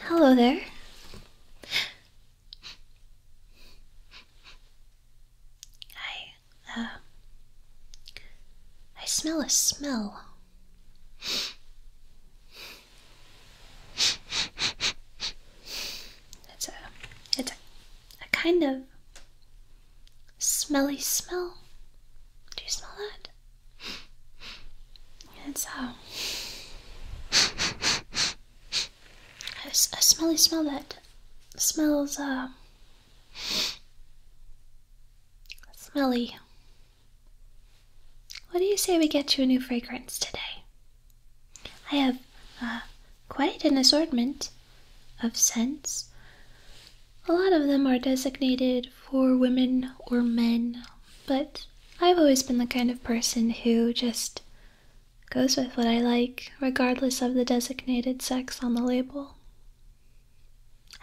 Hello there. Hi. Uh, I smell a smell. It's a, it's a, a kind of smelly smell. Do you smell that? It's uh, a, a, a smelly smell that smells uh, Smelly. What do you say we get you a new fragrance today? I have uh, quite an assortment of scents. A lot of them are designated for women or men, but I've always been the kind of person who just goes with what I like, regardless of the designated sex on the label.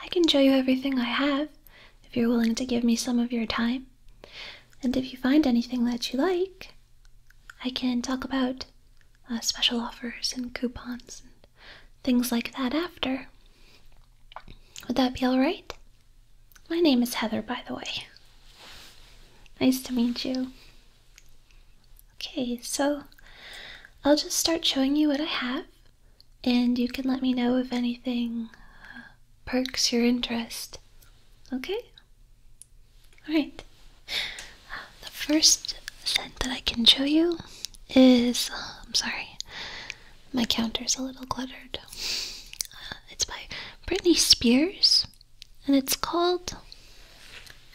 I can show you everything I have if you're willing to give me some of your time. And if you find anything that you like, I can talk about uh, special offers and coupons and things like that after. Would that be all right? My name is Heather, by the way. Nice to meet you. Okay, so I'll just start showing you what I have, and you can let me know if anything uh, perks your interest. Okay? Alright. The first scent that I can show you is. I'm sorry, my counter's a little cluttered. Uh, it's by Britney Spears, and it's called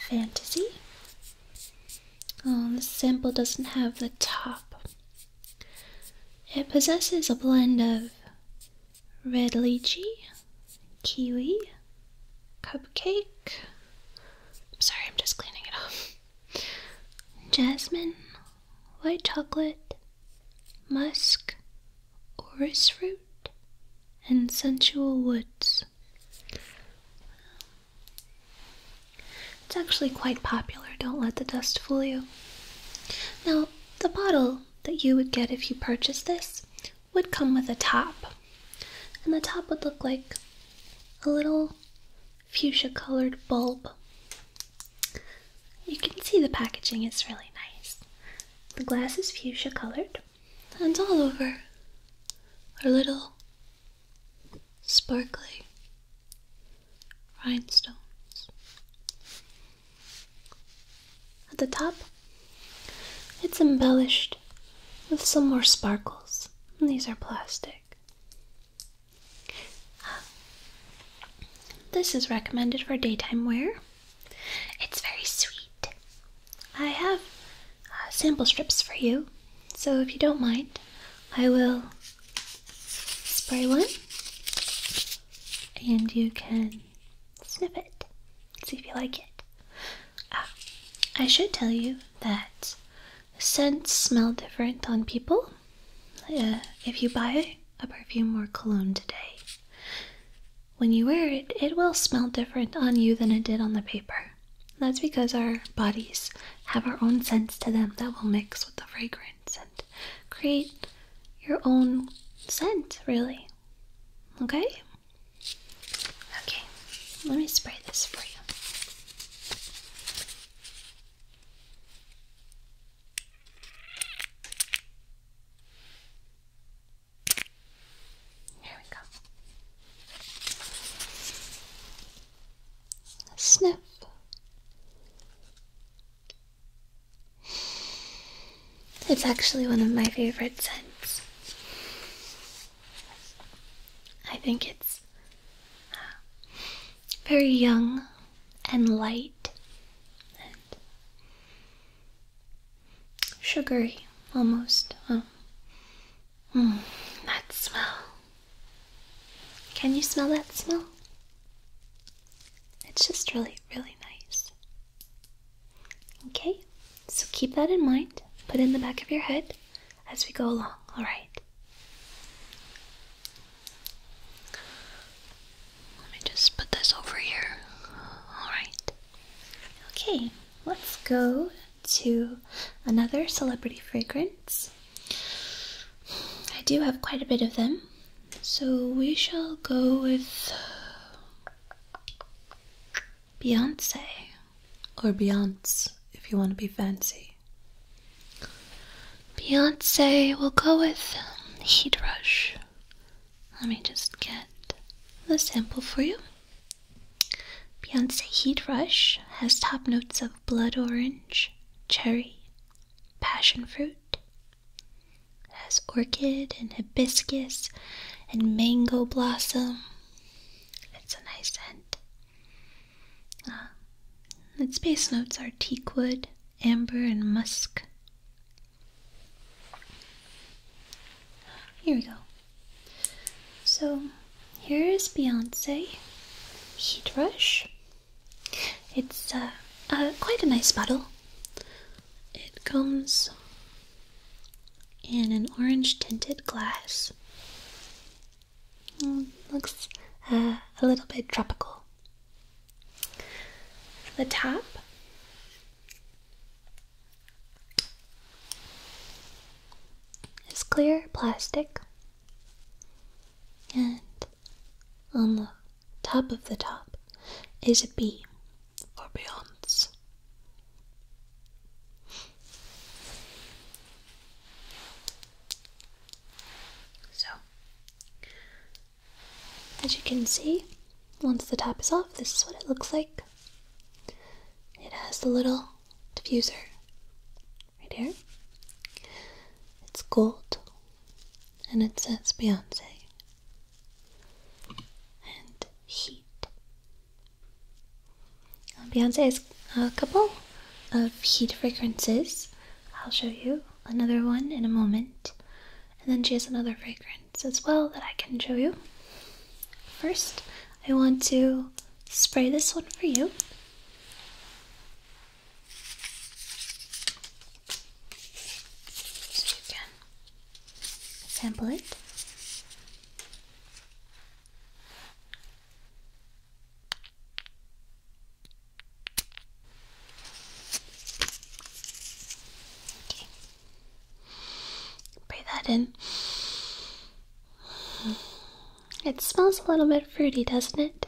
Fantasy. Oh, um, the sample doesn't have the top. It possesses a blend of red lychee, kiwi, cupcake. sorry, I'm just cleaning it up. Jasmine, white chocolate, musk, orris root, and sensual woods. It's actually quite popular, don't let the dust fool you. Now, the bottle that you would get if you purchased this would come with a top. And the top would look like a little fuchsia colored bulb. You can see the packaging is really nice. The glass is fuchsia colored, and all over are little sparkly rhinestones. At the top, it's embellished with some more sparkles. these are plastic. this is recommended for daytime wear. It's very sweet. I have uh, sample strips for you. So if you don't mind, I will spray one and you can sniff it. See if you like it. Ah, I should tell you that scents smell different on people. Uh, if you buy a perfume or cologne today, when you wear it, it will smell different on you than it did on the paper. That's because our bodies have our own scents to them that will mix with the fragrance and create your own scent, really. Okay? Okay, let me spray this for you. Here we go sniff. It's actually one of my favorite scents. I think it's uh, very young and light and sugary almost. Um, Mm, that smell. Can you smell that smell? It's just really, really nice. Okay, so keep that in mind. Put in the back of your head as we go along, alright? Let me just put this over here. Alright. Okay, let's go to another celebrity fragrance. I do have quite a bit of them, so we shall go with Beyonce or Beyonce if you want to be fancy. Beyonce we will go with Heat Rush. Let me just get the sample for you. Beyonce Heat Rush has top notes of blood orange, cherry, passion fruit. It has orchid and hibiscus and mango blossom. It's a nice scent. Uh, its base notes are teakwood, amber, and musk. Here we go. So here is Beyonce Heat Rush. It's uh, uh, quite a nice bottle. It comes in an orange tinted glass. Mm, looks uh, a little bit tropical. The top it's clear plastic, and on the top of the top is a B for Beyonce. So, as you can see, once the top is off, this is what it looks like. It has the little diffuser right here. It's gold and it says Beyonce and heat. Beyonce has a couple of heat fragrances. I'll show you another one in a moment. And then she has another fragrance as well that I can show you. First, I want to spray this one for you. So sample it. Okay. Breathe that in. It smells a little bit fruity, doesn't it?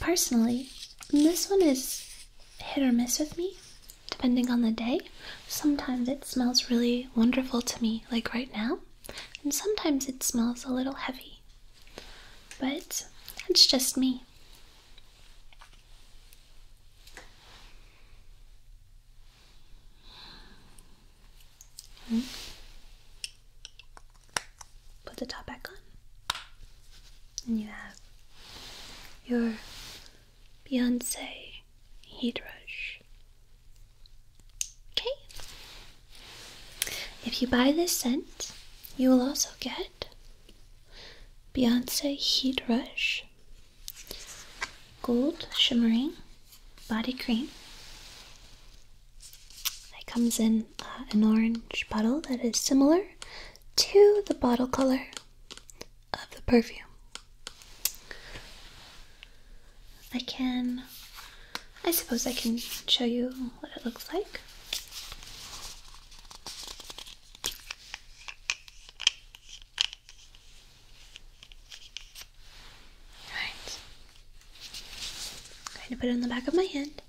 Personally, this one is hit or miss with me, depending on the day. Sometimes it smells really wonderful to me, like right now, and sometimes it smells a little heavy. But that's just me. Put the top back on, and you have your Beyonce heat rush. Okay. If you buy this scent, you will also get Beyonce Heat Rush, Gold Shimmering Body Cream. It comes in uh, an orange bottle that is similar to the bottle color of the perfume. I can, I suppose I can show you what it looks like. Alright. I'm going to put it on the back of my hand.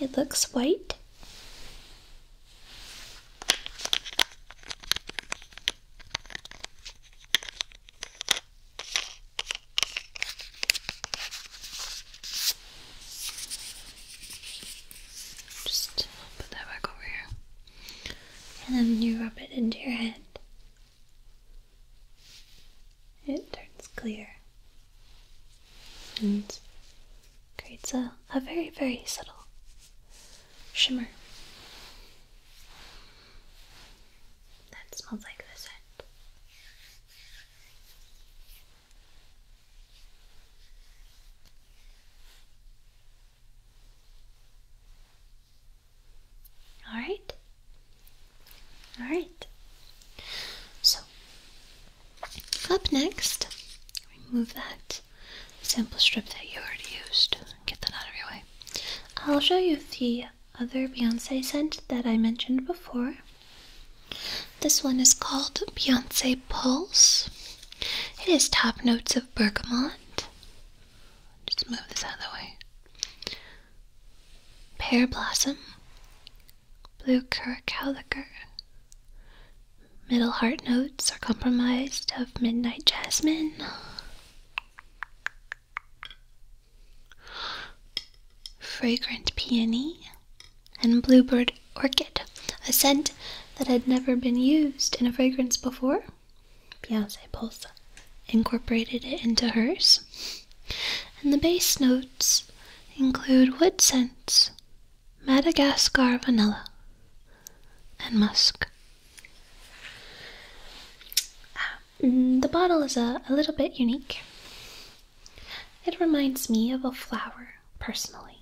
It looks white. Just put that back over here. And then you rub it into your head. It turns clear and creates a, a very, very subtle shimmer. That smells like the scent. All right. All right. So, up next, remove that sample strip that you already used. Get that out of your way. I'll show you the other Beyonce scent that I mentioned before. This one is called Beyonce Pulse. It has top notes of bergamot. Just move this out of the way. Pear blossom, blue curacao liquor. Middle heart notes are comprised of midnight jasmine, fragrant peony, and bluebird orchid, a scent that had never been used in a fragrance before. Beyonce Pulsa incorporated it into hers. And the base notes include wood scents, Madagascar vanilla, and musk. Um, Mm, the bottle is a, uh, a little bit unique. It reminds me of a flower, personally,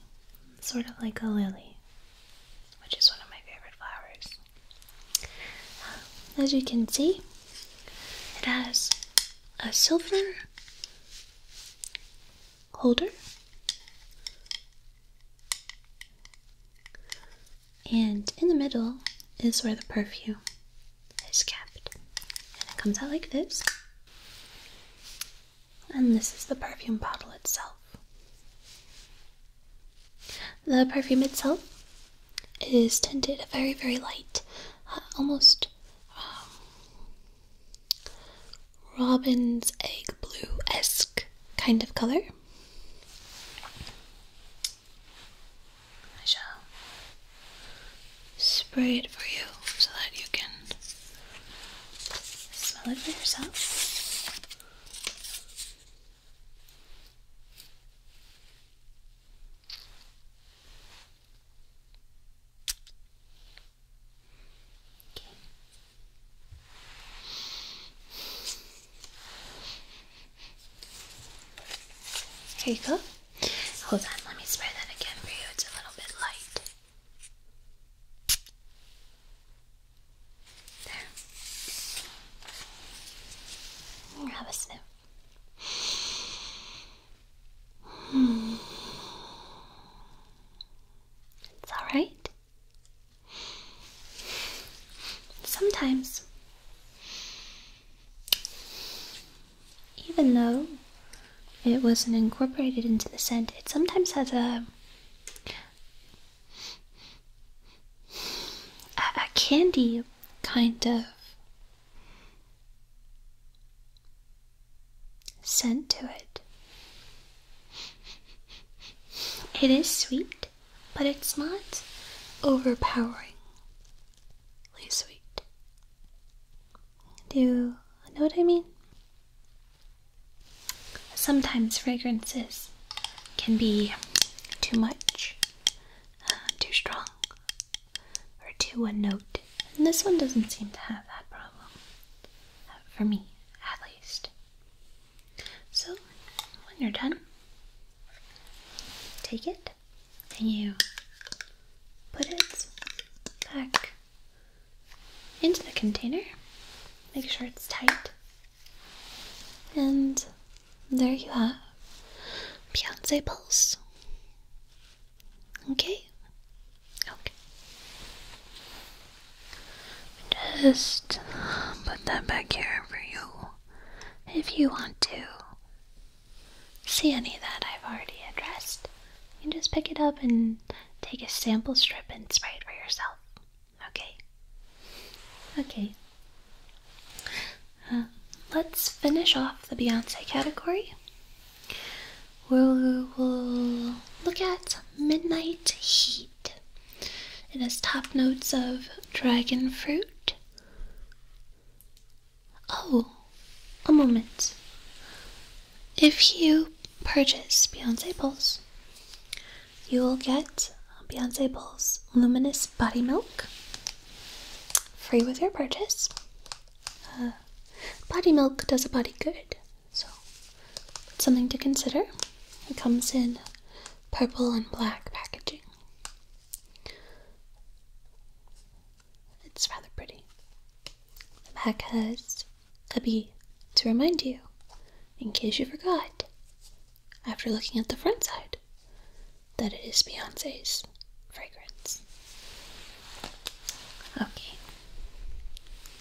sort of like a lily, which is one of my favorite flowers. As you can see, it has a silver holder and in the middle is where the perfume is kept. And it comes out like this. And this is the perfume bottle itself. The perfume itself is tinted a very, very light, uh, almost um, robin's egg blue esque kind of color. I shall spray it for you so that you can smell it for yourself. Okay. Here you go. Hold on, let me spray that again for you. It's a little bit light. There. Have a sniff. It's alright. Sometimes even though it wasn't incorporated into the scent, it sometimes has a a, candy kind of scent to it. It is sweet, but it's not overpowering sweet. Do you know what I mean? Sometimes fragrances can be too much, uh, too strong, or too one note. And this one doesn't seem to have that problem. Uh, for me, at least. So, when you're done, take it and you put it back into the container. Make sure it's tight. And there you have Beyonce Pulse. Okay? Okay. Just put that back here for you if you want to see any that I've already addressed, you can just pick it up and take a sample strip and spray it for yourself. Okay? Okay. Uh, let's finish off the Beyonce category. we'll look at Midnight Heat. It has top notes of dragon fruit, Oh, a moment. If you purchase Beyonce Pulse, you will get Beyonce Pulse Luminous Body Milk free with your purchase. Uh, body milk does a body good, so it's something to consider. It comes in purple and black packaging. It's rather pretty. The back has a bee to remind you, in case you forgot, after looking at the front side, that it is Beyonce's fragrance. Okay.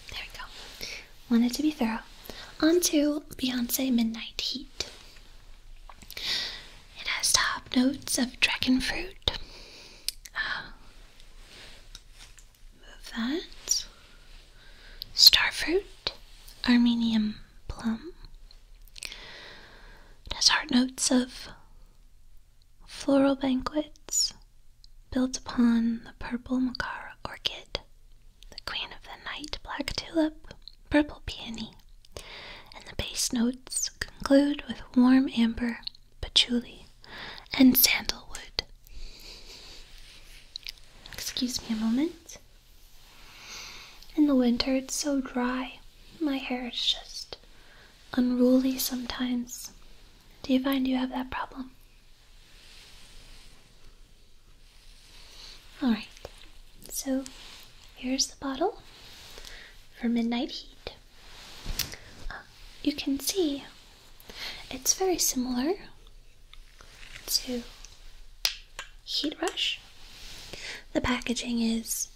There we go. Wanted to be thorough. On to Beyonce Midnight Heat. It has top notes of dragon fruit. Uh, move that. Starfruit, Armenium plum. It has heart notes of floral banquets built upon the purple macara orchid, the queen of the night black tulip, purple peony, and the bass notes conclude with warm amber, patchouli, and sandalwood. Excuse me a moment. In the winter, it's so dry. My hair is just unruly sometimes. Do you find you have that problem? Alright, so Here's the bottle for midnight heat. Uh, you can see it's very similar to Heat Rush. The packaging is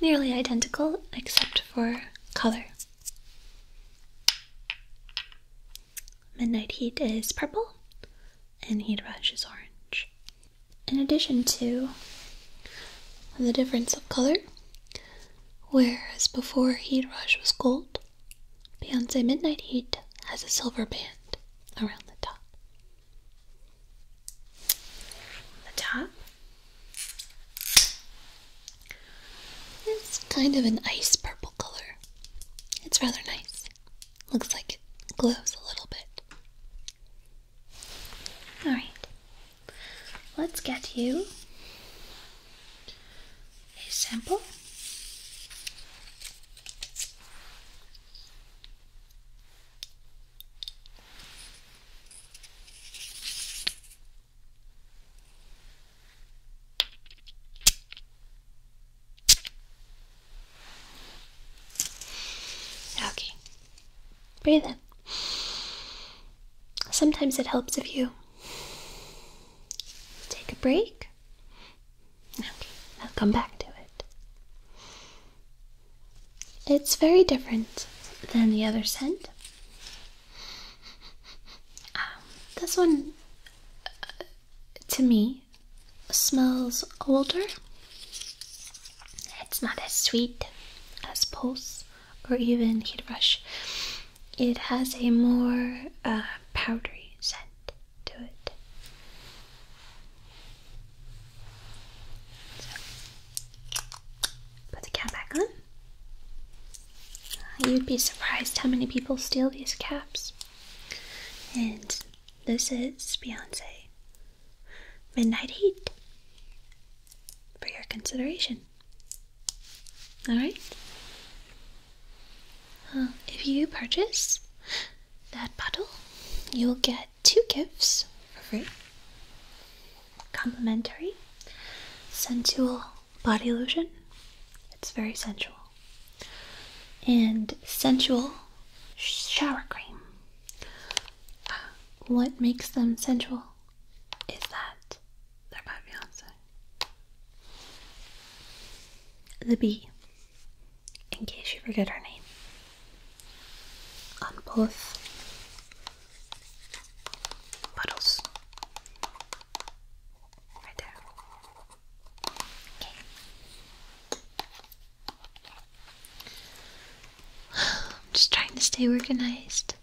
nearly identical except for color. Midnight Heat is purple and Heat Rush is orange in addition to the difference of color, whereas before Heat Rush was gold, Beyonce Midnight Heat has a silver band around the top. The top is kind of an ice purple color. It's rather nice. Looks like it glows a little bit. Alright, let's get you a sample. Okay, Breathe in. Sometimes it helps if you take a break. Okay, now come back to it. It's very different than the other scent. Um, this one, uh, to me, smells older it's not as sweet as Pulse or even Heat Rush. It has a more uh, powdery scent to it. put the cap back on. Uh, you'd be surprised how many people steal these caps. And this is Beyonce Midnight Heat for your consideration. Alright? if you purchase that bottle, you'll get two gifts for free complimentary sensual body lotion. It's very sensual. And sensual shower cream uh, what makes them sensual is that they're my fiance. The bee, in case you forget her name, on both bottles. Right there. Okay. I'm just trying to stay organized.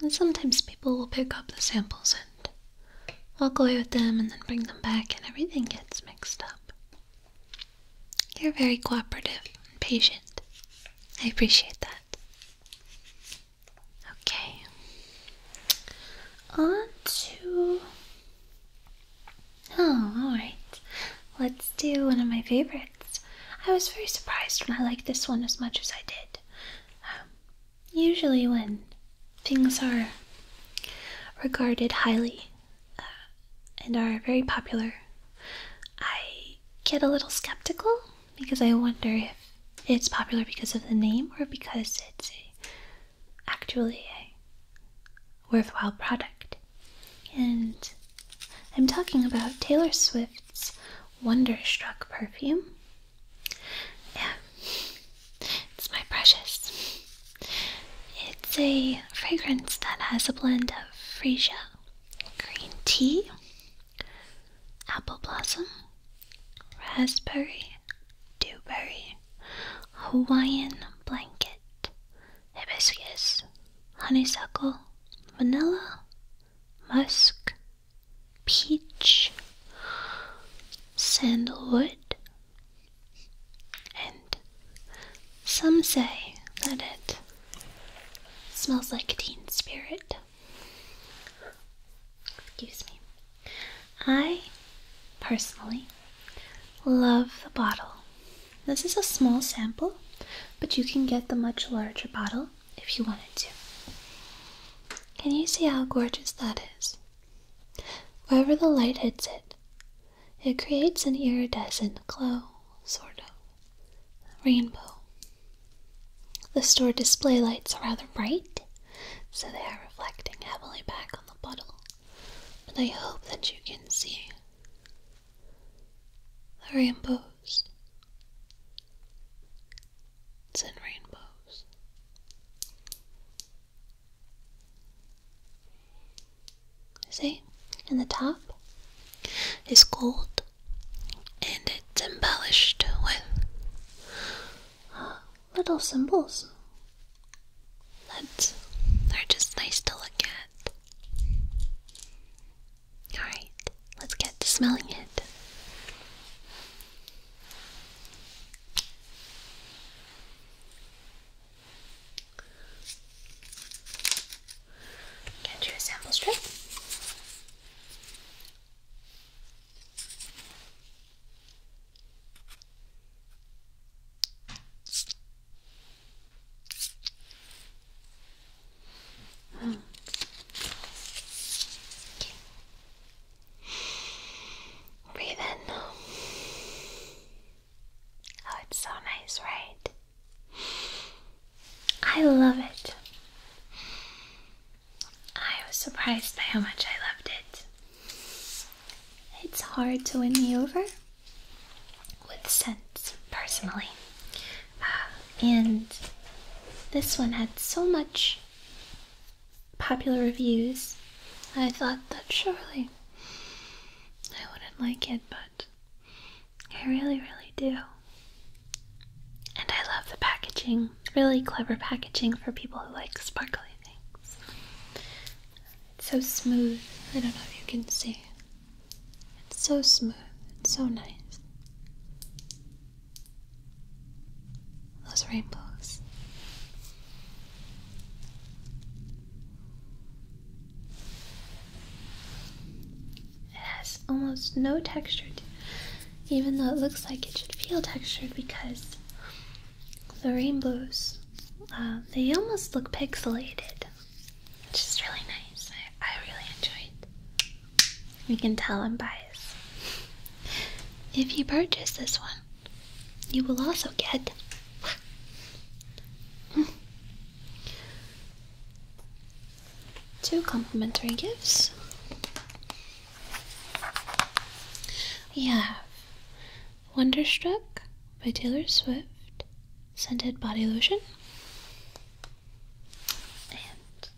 And sometimes people will pick up the samples and walk away with them and then bring them back, and everything gets mixed up. You're very cooperative and patient. I appreciate that. Okay. On to. Oh, alright. Let's do one of my favorites. I was very surprised when I liked this one as much as I did. Um, usually, when things are regarded highly uh, and are very popular, I get a little skeptical because I wonder if it's popular because of the name or because it's actually a worthwhile product. And I'm talking about Taylor Swift's Wonderstruck perfume. Yeah, it's my precious. It's a fragrance that has a blend of freesia, green tea, apple blossom, raspberry, dewberry, Hawaiian blanket, hibiscus, honeysuckle, vanilla, musk, peach, sandalwood, and some say that it smells like teen spirit. Excuse me. I personally love the bottle this is a small sample, but you can get the much larger bottle if you wanted to. Can you see how gorgeous that is? Wherever the light hits it, it creates an iridescent glow, sort of rainbow. The store display lights are rather bright, so they are reflecting heavily back on the bottle, but I hope that you can see the rainbows. It's in rainbows. See, in the top is gold, and it's embellished with uh, little symbols thats they are just nice to look at. Alright, let's get to smelling it. Get you a sample strip. Breathe in. Oh, it's so nice, right? I love it. I was surprised by how much I loved it. It's hard to win me over with scents personally. Uh, and this one had so much popular reviews, I thought that surely I wouldn't like it, but I really, really do. And I love the packaging. Really clever packaging for people who like sparkly things. It's so smooth. I don't know if you can see. It's so smooth, it's so nice. Those rainbows. It has almost no texture, even though it looks like it should feel textured because the rainbows, uh, they almost look pixelated which is really nice. I, really enjoy it. You can tell I'm biased. If you purchase this one, you will also get two complimentary gifts. We have Wonderstruck by Taylor Swift scented body lotion and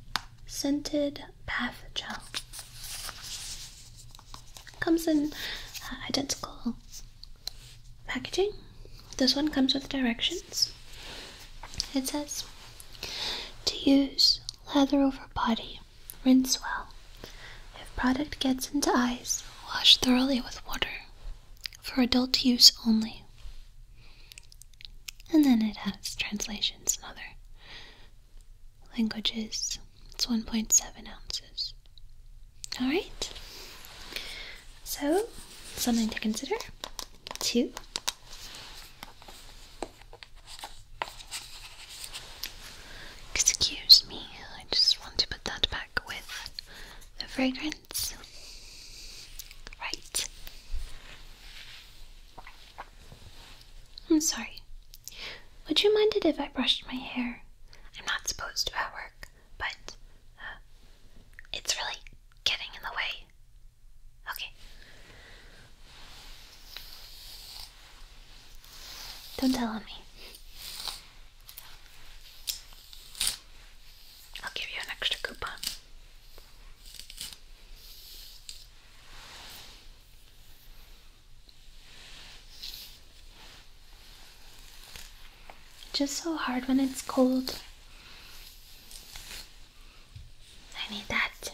scented bath gel. Comes in uh, identical packaging. This one comes with directions. It says to use lather over body, rinse well. If product gets into eyes, wash thoroughly with water. For adult use only. And then it has translations in other languages. It's 1.7 ounces. Alright, so something to consider. Two. Excuse me, I just want to put that back with the fragrance. Right. I'm sorry. Would you mind it if I brushed my hair? I'm not supposed to at work, but uh, it's really getting in the way. Okay. Don't tell on me. I'll give you an extra coupon. Just so hard when it's cold. I need that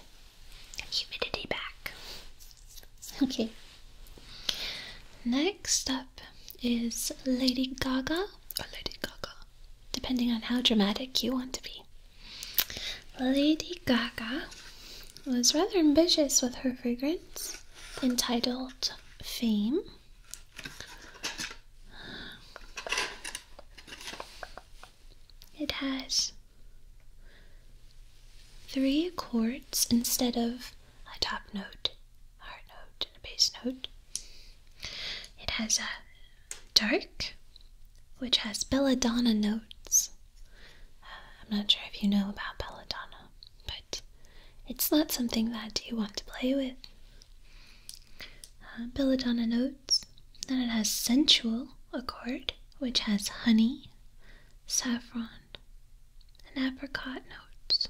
humidity back. Okay. Next up is Lady Gaga or oh, Lady Gaga depending on how dramatic you want to be. Lady Gaga was rather ambitious with her fragrance entitled Fame. It has three chords instead of a top note, a heart note, and a bass note. It has a dark, which has belladonna notes. Uh, I'm not sure if you know about belladonna, but it's not something that you want to play with. Uh, belladonna notes. Then it has sensual accord, which has honey, saffron, and apricot notes.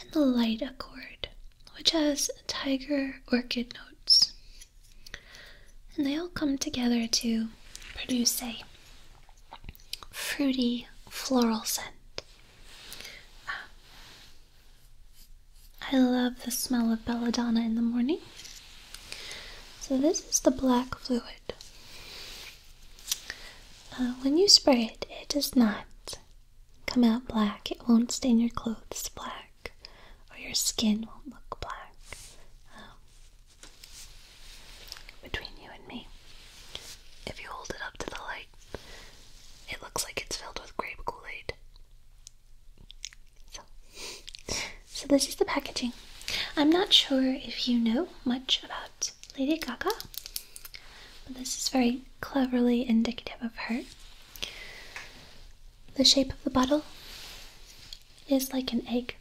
And the light accord, which has tiger orchid notes. And they all come together to produce a fruity floral scent. Ah. I love the smell of belladonna in the morning. So, this is the black fluid. Uh, when you spray it, it does not come out black. It won't stain your clothes black, or your skin won't look black. Um, between you and me, if you hold it up to the light, it looks like it's filled with grape Kool Aid. So, so this is the packaging. I'm not sure if you know much about Lady Gaga, but this is very cleverly indicative of her. The shape of the bottle is like an egg,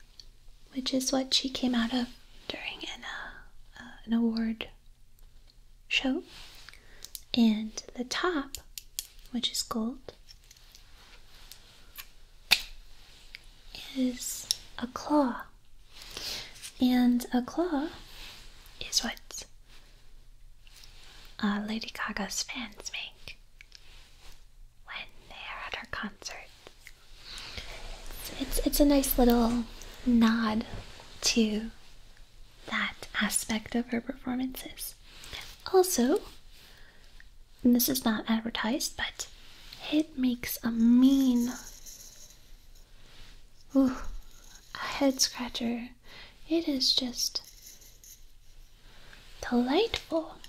which is what she came out of during an, uh, uh, award show. And the top, which is gold, is a claw. And a claw is what uh, Lady Gaga's fans make when they are at her concerts. It's, it's a nice little nod to that aspect of her performances. Also, this is not advertised, but it makes a mean, ooh, a head scratcher it is just delightful.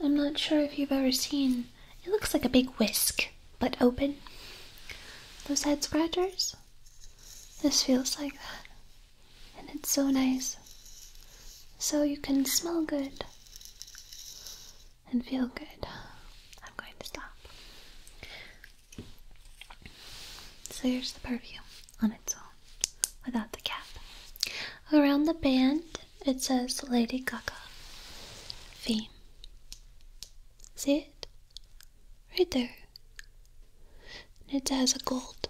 I'm not sure if you've ever seen it looks like a big whisk, but open. Those head scratchers? This feels like that. And it's so nice. So you can smell good and feel good. I'm going to stop. So here's the perfume on its own, without the cap. Around the band, it says Lady Gaga theme. See it? Right there. And it has a gold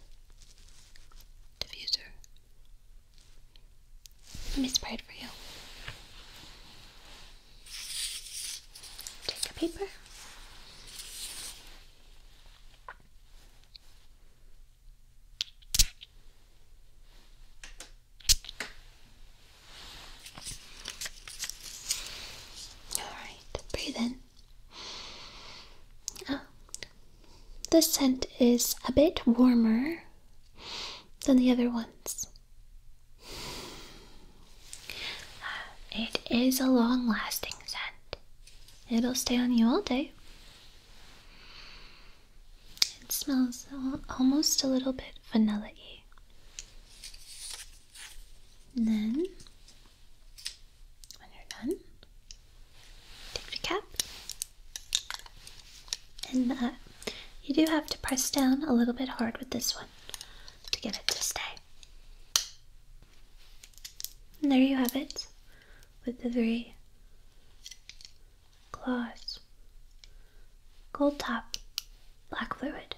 diffuser. Let me spray it for you. Take a paper. All right, breathe in. Oh, this scent is a bit warmer than the other ones. Uh, it is a long lasting scent. It'll stay on you all day. It smells almost a little bit vanilla y. Then, when you're done, take the cap. And uh, you do have to press down a little bit hard with this one to get it to stay. And there you have it with the three claws. Gold top, black fluid,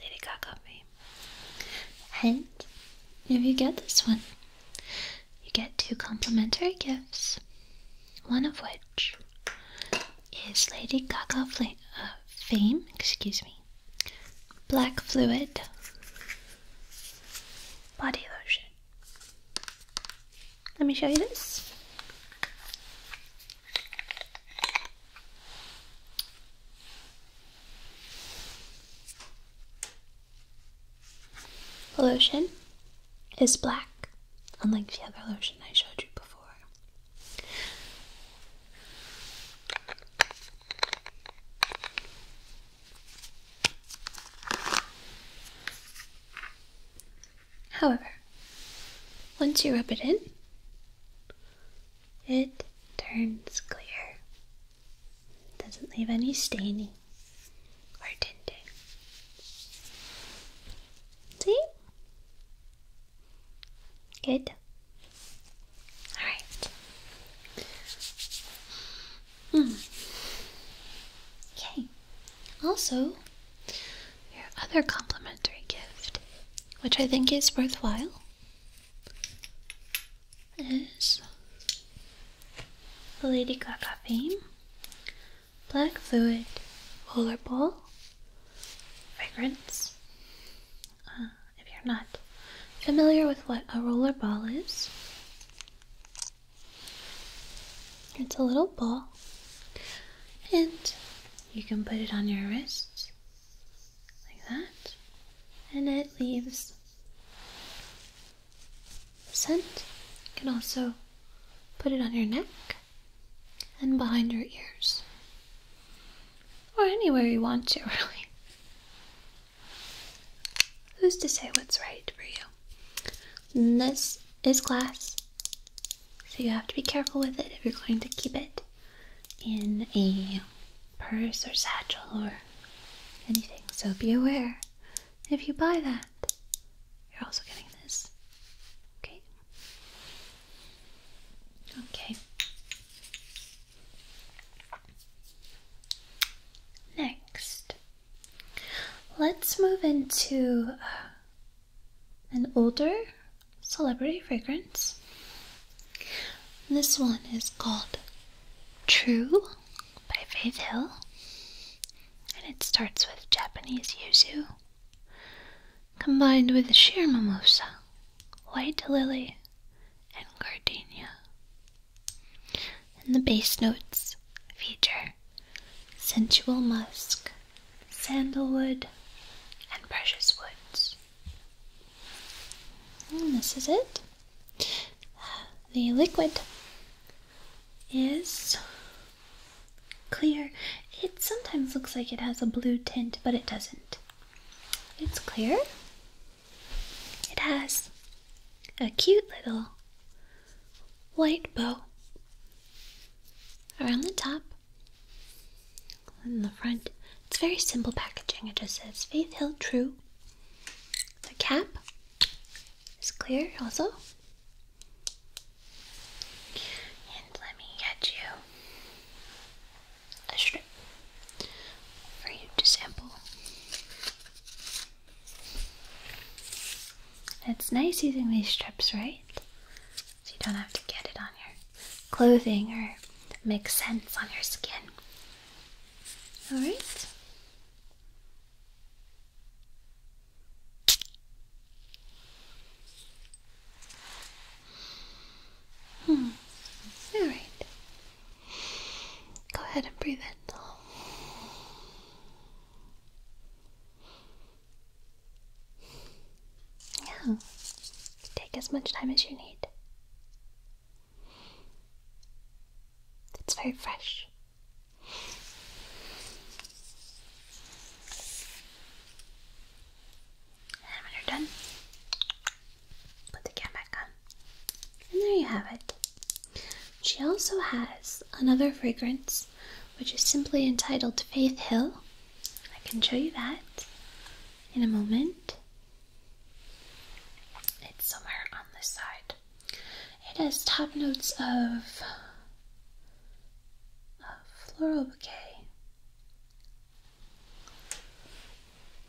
Lady Gaga me. And if you get this one, you get two complimentary gifts, one of which is Lady Gaga uh, fame, excuse me, black fluid, body lotion. Let me show you this. The lotion is black, unlike the other lotion I showed you before. However, once you rub it in, it turns clear. It doesn't leave any staining or tinting. See? Good. All right. Hmm. Okay. Also, your other complimentary gift, which I think is worthwhile, is the Lady Gaga Fame Black Fluid Rollerball Fragrance. Uh, if you're not familiar with what a roller ball is, it's a little ball, and you can put it on your wrist like that, and it leaves scent. You can also put it on your neck and behind your ears or anywhere you want to, really. Who's to say what's right for you? this is glass, so you have to be careful with it if you're going to keep it in a purse or satchel or anything. So be aware if you buy that, you're also getting this. Okay. Okay. Next, let's move into an older celebrity fragrance. This one is called True by Faith Hill, and it starts with Japanese yuzu combined with sheer mimosa, white lily, and gardenia. And the base notes feature sensual musk, sandalwood, and precious woods. And this is it. The liquid is clear. It sometimes looks like it has a blue tint, but it doesn't. It's clear. It has a cute little white bow around the top and the front. It's very simple packaging. It just says Faith Hill True. The cap is clear also. And let me get you a strip for you to sample. It's nice using these strips, right? So you don't have to get it on your clothing or make sense on your skin. Alright? Hmm. All right. Go ahead and breathe in. Yeah. Take as much time as you need. It's very fresh. And when you're done, Put the can back on. And there you have it. She also has another fragrance which is simply entitled Faith Hill. I can show you that in a moment. It's somewhere on this side. It has top notes of, of floral bouquet,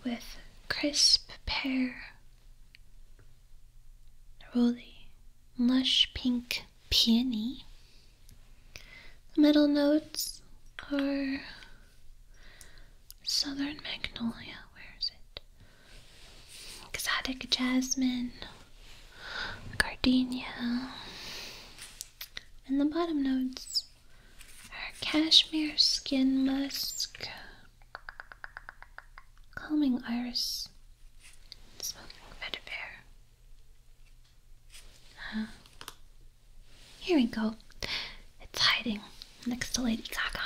with crisp pear, ruly, lush pink peony. middle notes are southern magnolia, where is it? Exotic jasmine, gardenia. And the bottom notes our cashmere skin musk, calming iris, smoking vetiver. Huh. Here we go. It's hiding next to Lady Gaga.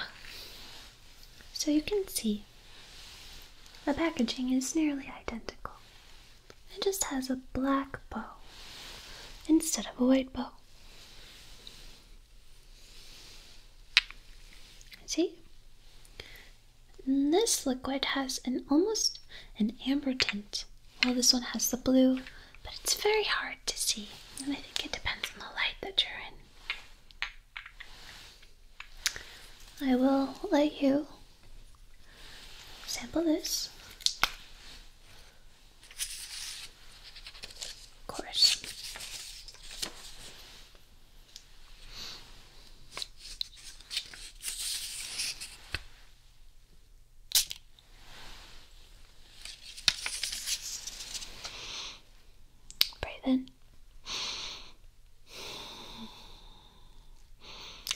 So you can see the packaging is nearly identical. It just has a black bow instead of a white bow. See? this liquid has an almost an amber tint. while this one has the blue, but it's very hard to see. And I think it depends on the light that you're in. I will let you sample this. Of course. Breathe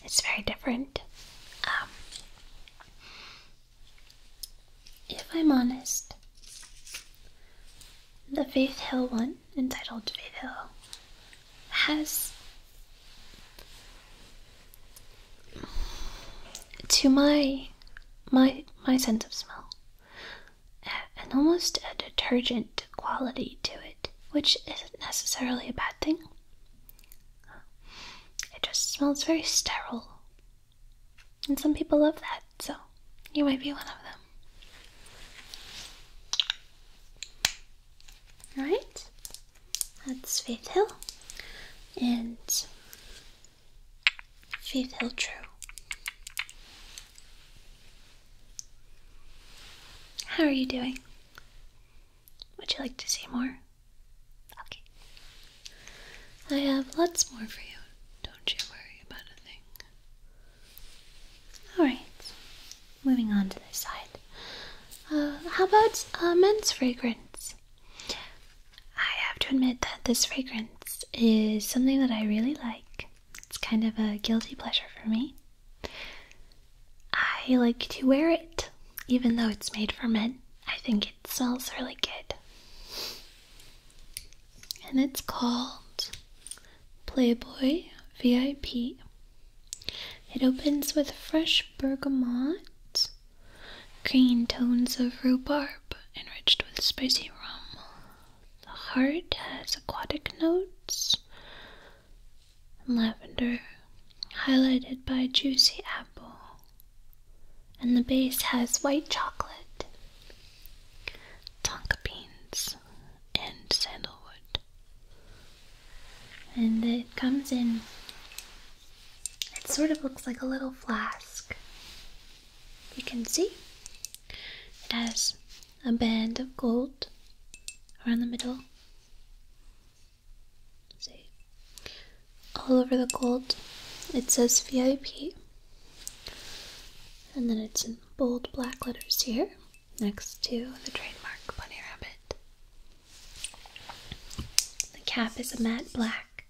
It's very different. Um, if I'm honest, the Faith Hill one, entitled Faith Hill, has, to my my my sense of smell, an almost a detergent quality to it, which isn't necessarily a bad thing. It just smells very sterile and some people love that, so you might be one of them. Right? that's Faith Hill and Faith Hill True. How are you doing? Would you like to see more? Okay. I have lots more for you. Don't you worry about a thing. Alright, moving on to this side. Uh, how about a uh, men's fragrance? I have to admit that this fragrance is something that I really like. It's kind of a guilty pleasure for me. I like to wear it, even though it's made for men. I think it smells really good and it's called Playboy VIP. It opens with fresh bergamot, green tones of rhubarb enriched with spicy rum. The heart has aquatic notes, and lavender, highlighted by juicy apple and the base has white chocolate, tonka beans, and sandalwood. And it comes in, it sort of looks like a little flask. You can see it has a band of gold around the middle. See? All over the gold, it says VIP. And then it's in bold black letters here next to the trademark bunny rabbit. The cap is a matte black,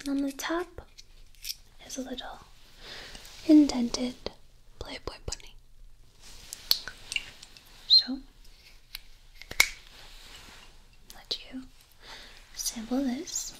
and on the top is a little indented Playboy bunny. So, let you Sample this.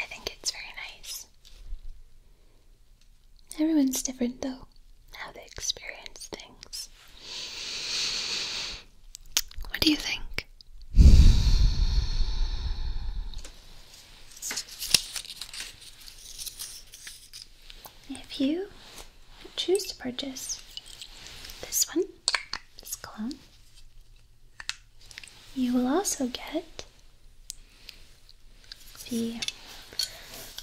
I think it's very nice. Everyone's different, though, how they experience things. What do you think? If you choose to purchase this one, this clone. You will also get the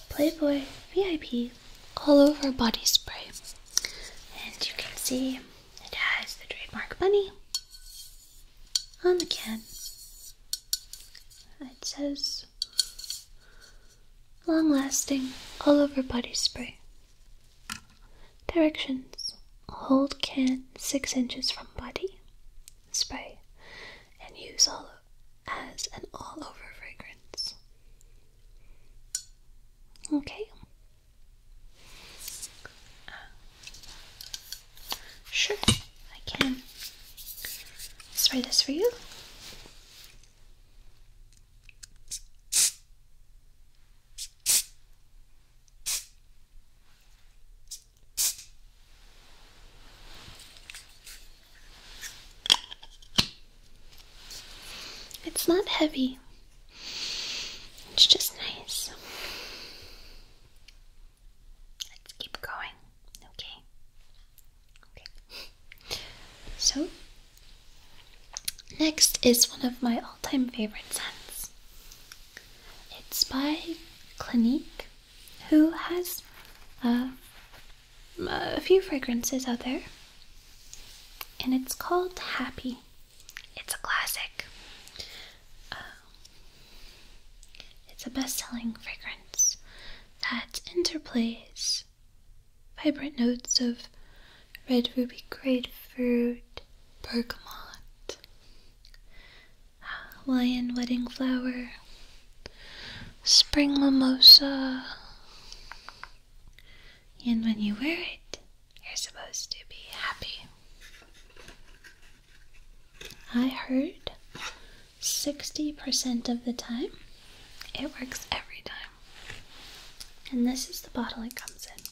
Playboy VIP all over body spray. And you can see it has the trademark bunny on the can. It says long lasting all over body spray. Directions Hold can 6 inches from body, spray, and use all as an all over fragrance. Okay. Uh, sure, I can spray this for you. It's not heavy. It's just nice. Let's keep going. Okay. Okay. So, Next is one of my all time favorite scents. It's by Clinique, who has uh, a few fragrances out there, and it's called Happy. It's a classic. Um, it's a best selling fragrance that interplays vibrant notes of red ruby grapefruit, bergamot, Hawaiian wedding flower, spring mimosa. And when you wear it, you're supposed to be happy. I heard 60% of the time it works every time. And this is the bottle it comes in.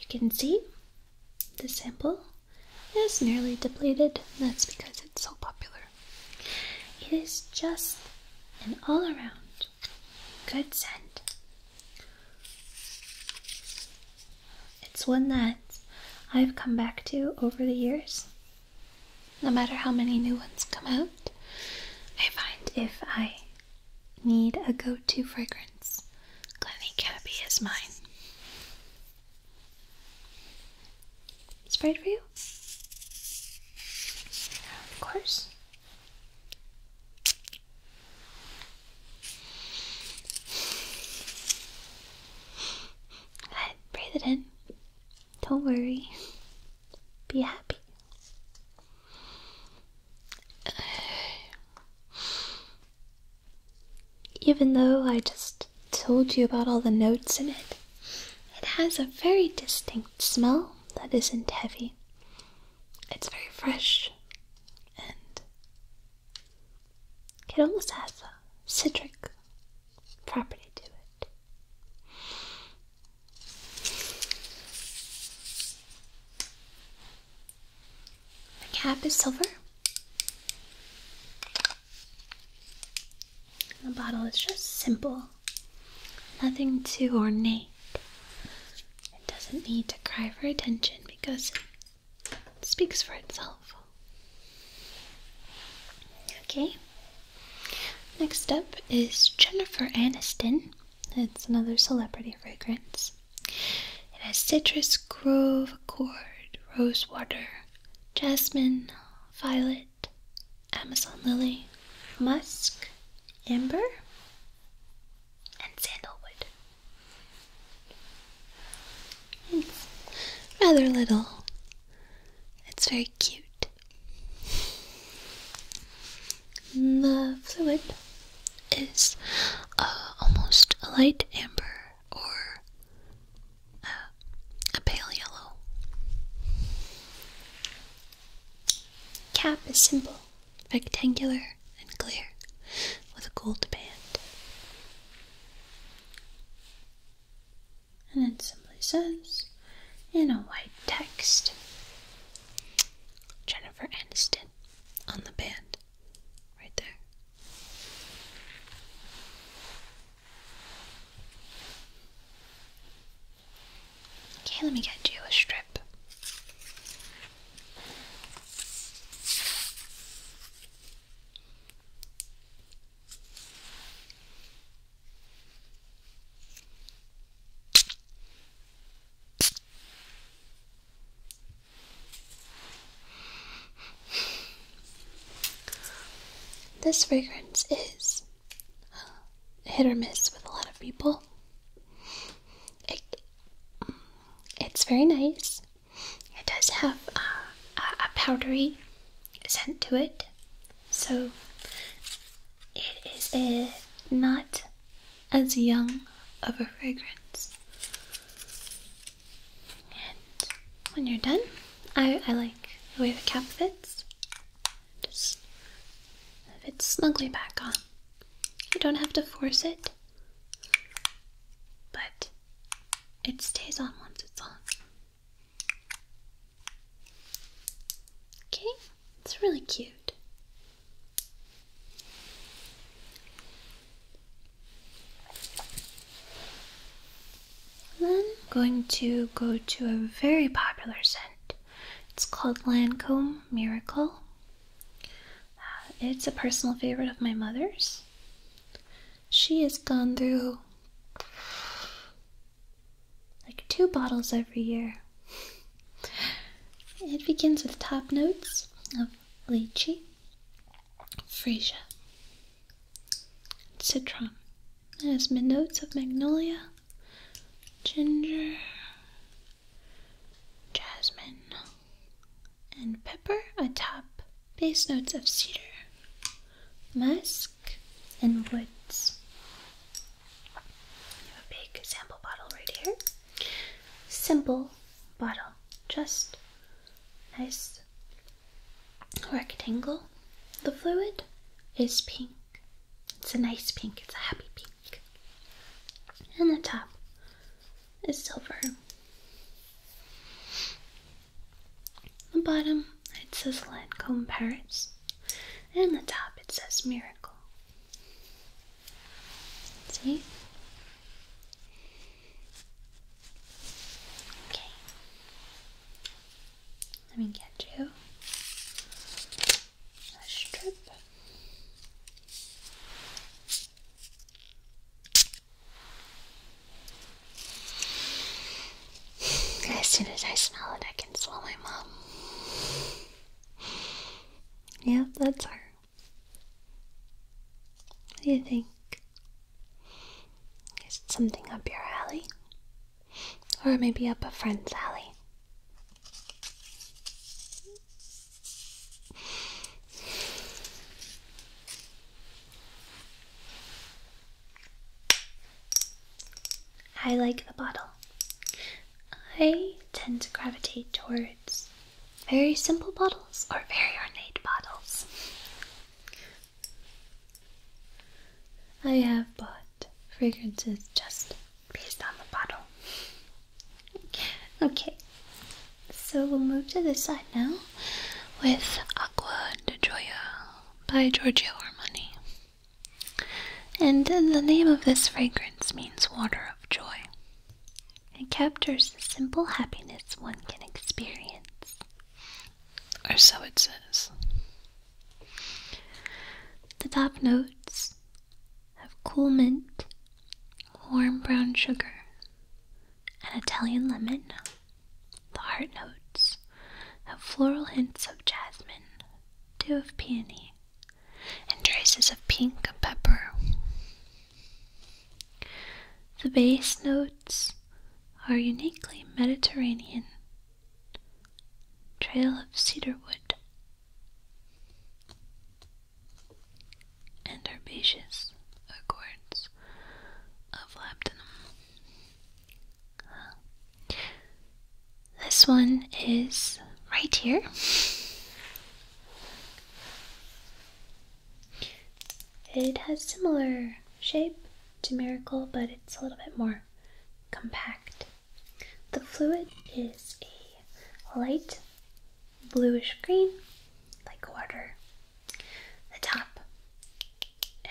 You can see the sample is nearly depleted. That's because it's so popular. It is just an all around good scent. It's one that I've come back to over the years. No matter how many new ones come out, I find if I need a go to fragrance. Glenny Cabby is mine. Sprayed for you? Of course. breathe it in. Don't worry. Be happy. Even though I just told you about all the notes in it, it has a very distinct smell that isn't heavy. It's very fresh and it almost has a citric property to it. The cap is silver. The bottle is just simple, nothing too ornate. It doesn't need to cry for attention because it speaks for itself. Okay. Next up is Jennifer Aniston. It's another celebrity fragrance. It has citrus, grove, accord, rosewater, jasmine, violet, Amazon lily, musk, amber, and sandalwood. rather little. It's very cute. The fluid is uh, almost a light amber or uh, a pale yellow. Cap is simple, rectangular, and clear, with a gold band. And it simply says, in a white text, Jennifer Aniston on the band right there. Okay, let me get you a strip. This fragrance is uh, hit or miss with a lot of people. Mm, it's very nice. It does have uh, a, powdery scent to it, so it is uh, not as young of a fragrance. And when you're done, I, I like the way the cap fits. Just fits snugly back on. You don't have to force it, but it stays on once it's on. Okay, it's really cute. Then I'm going to go to a very popular scent. It's called Lancome Miracle. Uh, it's a personal favorite of my mother's. She has gone through like two bottles every year. It begins with top notes of lychee, freesia, citron. It has mid notes of magnolia, ginger, jasmine, and pepper top base notes of cedar, musk, and woods. I have a big sample bottle right here simple bottle, just nice rectangle. The fluid is pink. It's a nice pink, it's a happy pink. And the top is silver. The bottom it says Lancome Paris, and the top it says Miracle. See? Okay. Let me get you a strip. As soon as I smell it, I can smell my mom. Yep, that's her. What do you think? Is it something up your alley? Or maybe up a friend's alley? I like the bottle. I tend to gravitate towards very simple bottles or very ornate bottles. I have bought fragrances just based on the bottle. Okay, so we'll move to this side now with Aqua De Joya by Giorgio Armani. And the name of this fragrance means water of joy. It captures the simple happiness one can experience. Or so it says. The top notes have cool mint, warm brown sugar, and Italian lemon. The heart notes have floral hints of jasmine, dew of peony, and traces of pink pepper. The bass notes are uniquely Mediterranean. Trail of cedarwood and herbaceous accords of labdanum. This one is right here. It has similar shape to Miracle, but it's a little bit more compact. The fluid is a light bluish green, like water. The top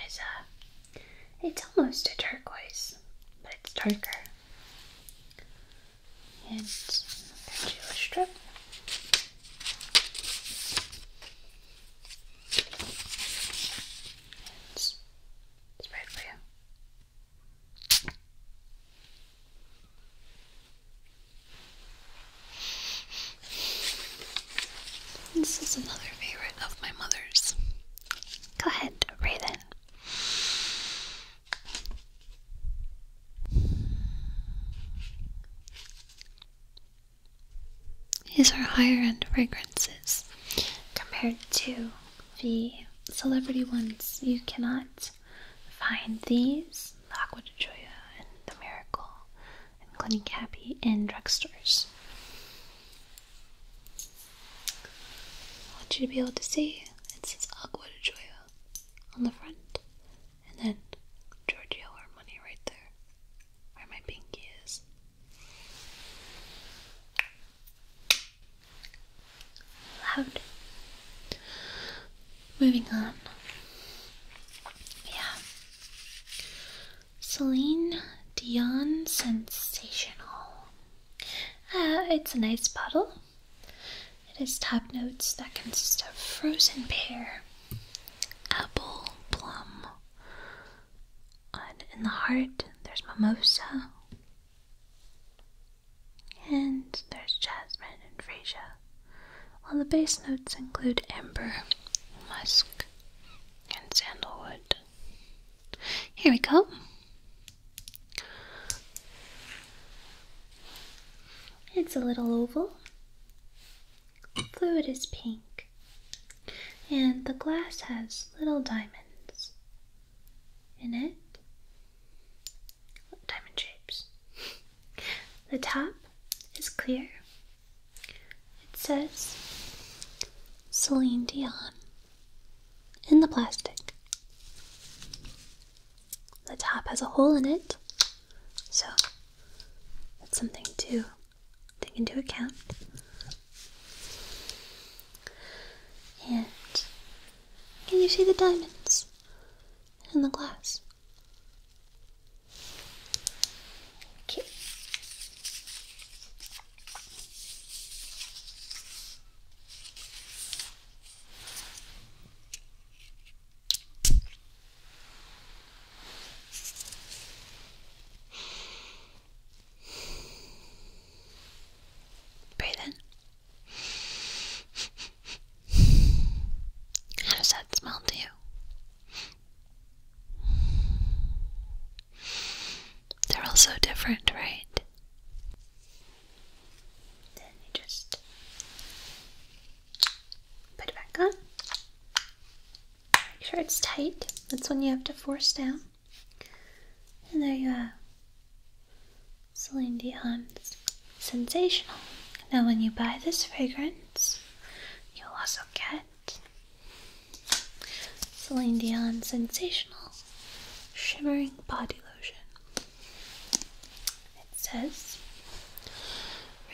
is a, uh, it's almost a turquoise, but it's darker and another strip. It's, it's right for you. This is another favorite of my mother's. Go ahead, breathe in. These are higher end fragrances compared to the celebrity ones. You cannot find these, Aqua de Joya and the Miracle and Clinique Happy in drugstores. I want you to be able to see it says Aqua de Joya on the front, and then Giorgio Armani right there, where my pinky is. Loud. Moving on. Yeah. Celine Dion Sensational. Uh, it's a nice bottle. It has top notes that consist of frozen pear, apple, plum. And in the heart, there's mimosa, and there's jasmine and freesia. While the base notes include amber, musk, and sandalwood. Here we go. It's a little oval. Fluid is pink. And the glass has little diamonds in it. Diamond shapes. The top is clear. It says Celine Dion in the plastic. The top has a hole in it, so that's something to take into account. And can you see the diamonds in the glass? Okay. Breathe in. How does that smell to you? They're all so different, right? Then you just put it back on. Make sure it's tight. That's when you have to force down. And there you have Celine Dion's Sensational. Now, when you buy this fragrance, you'll also get Celine Dion Sensational Shimmering Body Lotion. It says,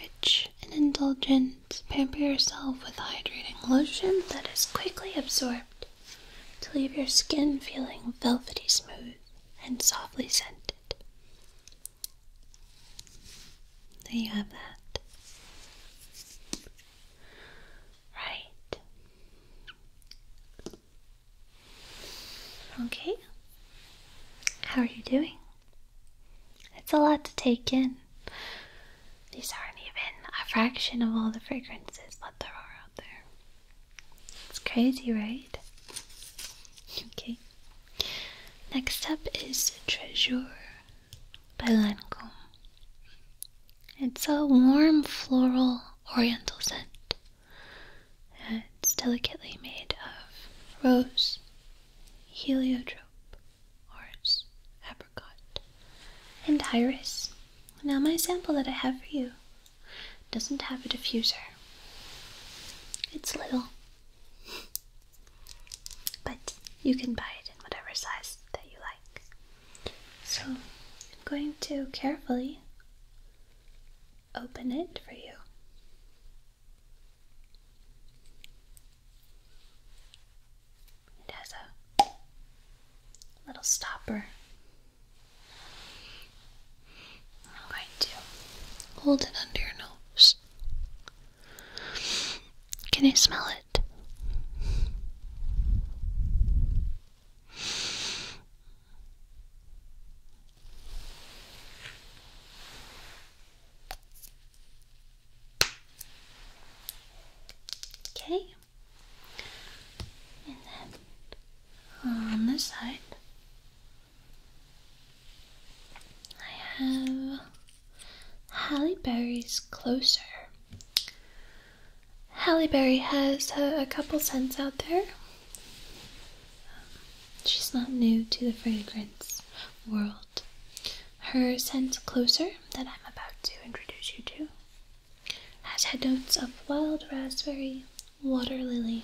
Rich and indulgent, pamper yourself with hydrating lotion that is quickly absorbed to leave your skin feeling velvety smooth and softly scented. There you have that. Right. Okay. How are you doing? It's a lot to take in. These aren't even a fraction of all the fragrances but there are out there. It's crazy, right? Okay. Next up is Treasure by Lancome. It's a warm floral oriental scent it's delicately made of rose, heliotrope, orris, apricot, and iris. Now, my sample that I have for you doesn't have a diffuser, it's little, but you can buy it in whatever size that you like. So, I'm going to carefully open it for you. It has a little stopper. I'm hold it under your nose. Can you smell it? Okay, and then on this side, I have Halle Berry's Closer. Halle Berry has a couple scents out there. Um, she's not new to the fragrance world. Her scent closer that I'm about to introduce you to has head notes of wild raspberry, water lily,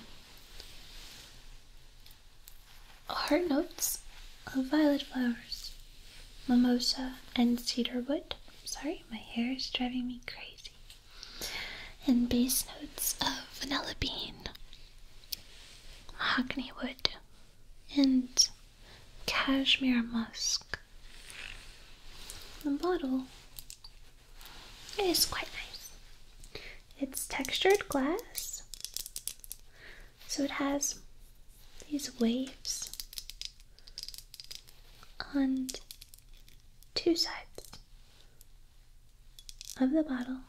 heart notes of violet flowers, mimosa, and cedar wood. sorry, my hair is driving me crazy and bass notes of vanilla bean, hackney wood, and cashmere musk. The bottle is quite nice. It's textured glass, so it has these waves on two sides of the bottle.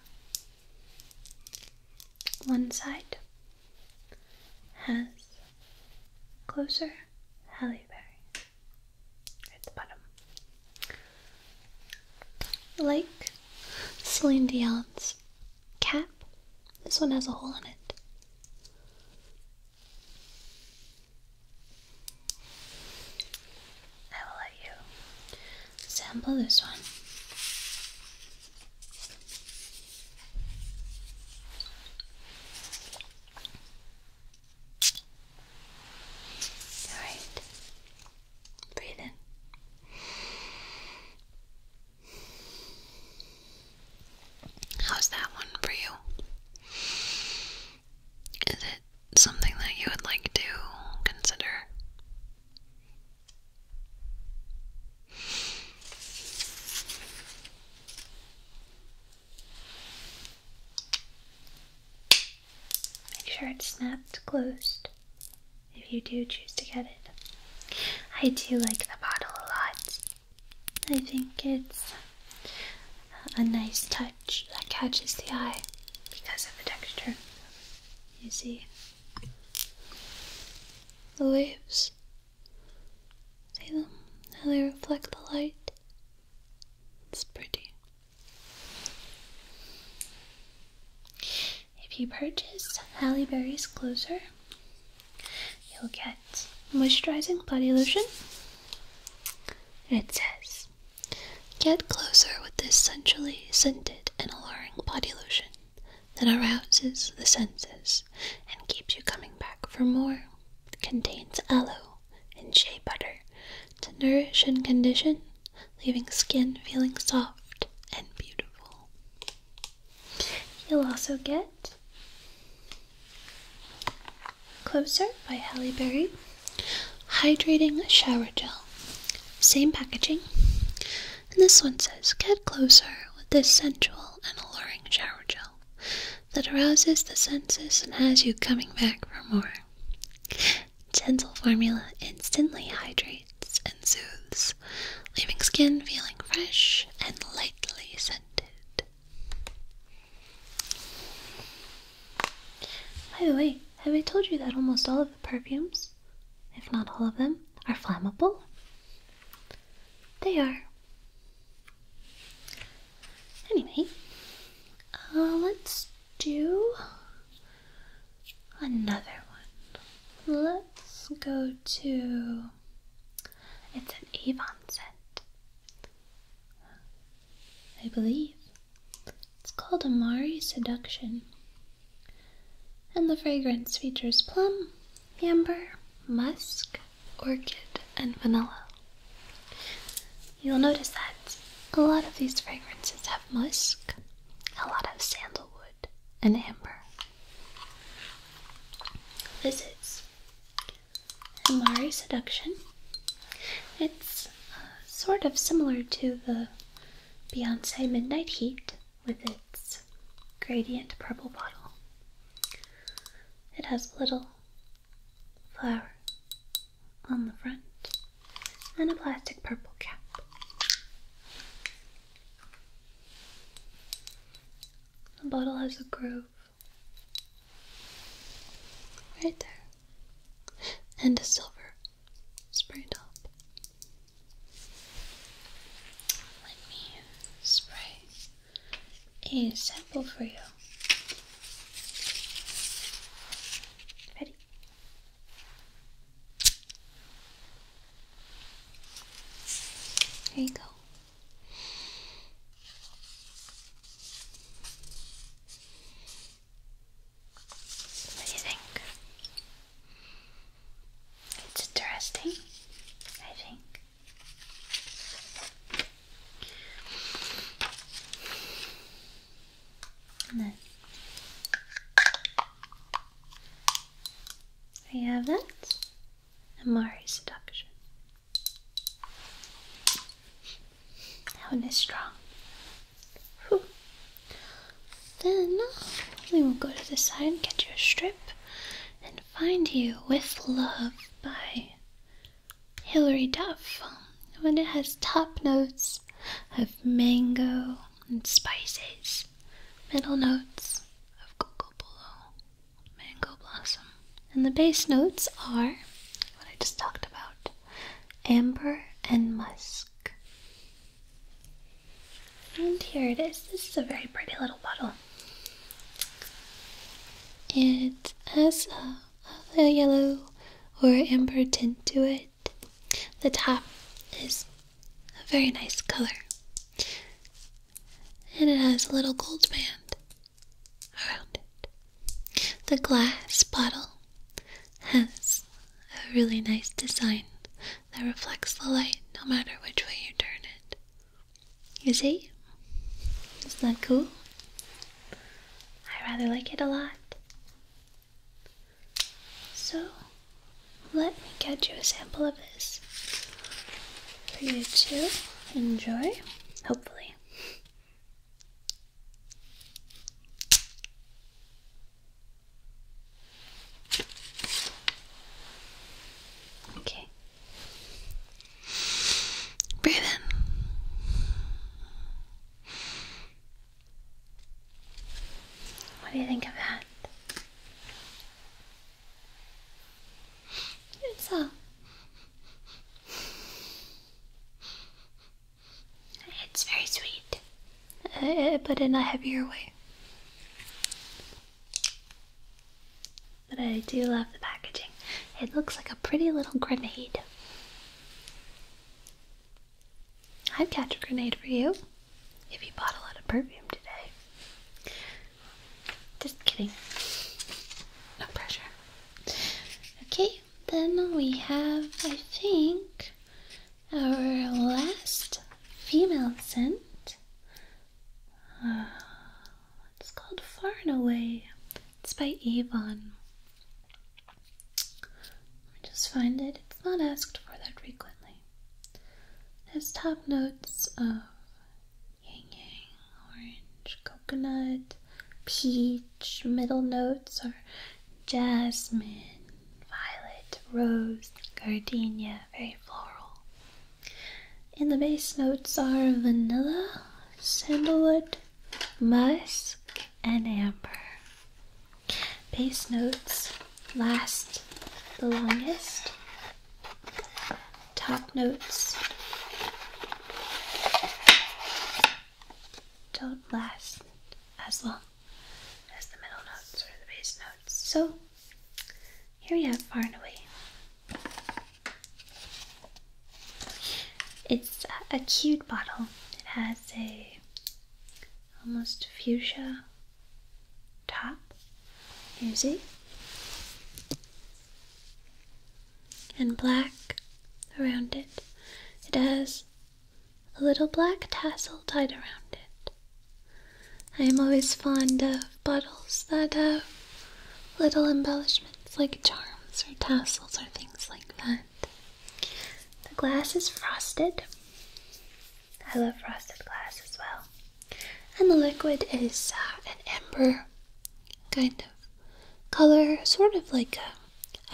One side has closer Halle at the bottom. Like Celine Dion's cap, this one has a hole in it. I will let you sample this one. All right, breathe How's that one for you? Is it something that you would like to consider? Make sure it's snapped closed if you do choose to get it. I do like the bottle a lot. I think it's a nice touch that catches the eye because of the texture. You see? The waves. See them? How they reflect the light? It's pretty. If you purchase Halle Berry's Closer, you'll get moisturizing body lotion. It says Get closer with this centrally scented and alluring body lotion that arouses the senses and keeps you coming back for more. It contains aloe and shea butter to nourish and condition, leaving skin feeling soft and beautiful. You'll also get Closer by Halle Hydrating Shower Gel. Same packaging. And this one says Get closer with this sensual and alluring shower gel that arouses the senses and has you coming back for more. Gentle formula instantly hydrates and soothes, leaving skin feeling fresh and lightly scented. By the way, have I told you that almost all of the perfumes, if not all of them, are flammable? They are. Anyway, uh, let's do another one. Let's go to. It's an Avon scent, I believe. It's called Amari Seduction. And the fragrance features plum, amber, musk, orchid, and vanilla. You'll notice that a lot of these fragrances have musk, a lot of sandalwood, and amber. This is Amari Seduction. It's sort of similar to the Beyonce Midnight Heat with its gradient purple bottle. It has a little flower on the front and a plastic purple cap. The bottle has a groove right there and a silver spray top. Let me spray a sample for you. Ready? Here you go. What do you think? It's interesting, I think. And then we have that Amari seduction. That one is strong. Then we will go to the side and get your strip and find you with love by Hilary Duff. Um, when it has top notes of mango and spices, middle notes of cocoa mango blossom, and the bass notes are what I just talked about amber, and musk. And here it is. This is a very pretty little bottle. It has a, a yellow or amber tint to it. The top is a very nice color. And it has a little gold band around it. The glass bottle has a really nice design that reflects the light no matter which way you turn it. You see? Isn't that cool? I rather like it a lot. So, let me get you a sample of this for you to enjoy, hopefully. Okay. Breathe What do you think of that? It's a it's very sweet, uh, uh, but in a heavier way. But I do love the packaging. It looks like a pretty little grenade. i have got a grenade for you if you bought a lot of perfume today. Just kidding. No pressure. Okay, then we have, I think, our last female scent. Uh, it's called Far and Away. It's by Avon. just find it. It's not asked for that frequently. It has top notes of yang yang, orange, coconut, peach, middle notes are jasmine, violet, rose, gardenia, very floral. And the base notes are vanilla, sandalwood, musk, and amber. Base notes last the longest. Top notes don't last as long as the middle notes or the bass notes. So here we have Far and Away. It's a, a cute bottle. It has a almost fuchsia top. Here's it. And black around it. It has a little black tassel tied around it. I am always fond of bottles that have little embellishments like charms or tassels or things like that. The glass is frosted. I love frosted glass as well. And the liquid is uh, an amber kind of color, sort of like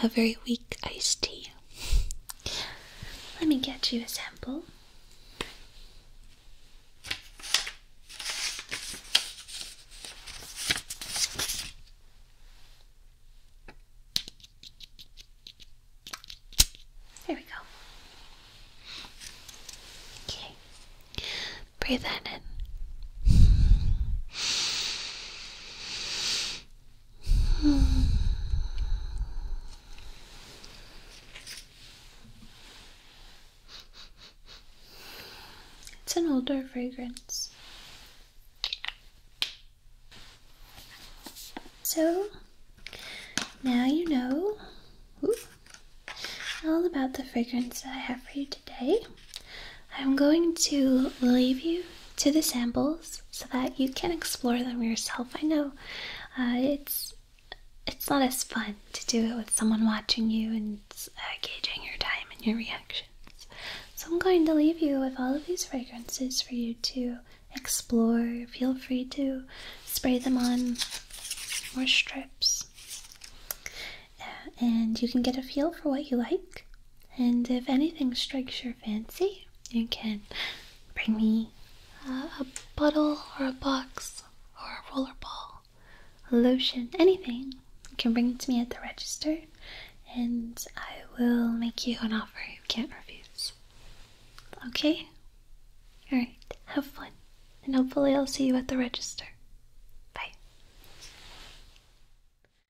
a, very weak iced tea. Let me get you a sample. There we go. Okay. Breathe that in. It's an older fragrance. So now you know all about the fragrance that I have for you today. I'm going to leave you to the samples so that you can explore them yourself. I know uh, it's it's not as fun to do it with someone watching you and uh, gauging your time and your reactions. So I'm going to leave you with all of these fragrances for you to explore. Feel free to spray them on more strips. Uh, and you can get a feel for what you like and if anything strikes your fancy, you can bring me a bottle or a box or a roller ball, a lotion, anything. You can bring it to me at the register and I will make you an offer you can't refuse. Okay? Alright, have fun. And hopefully, I'll see you at the register. Bye.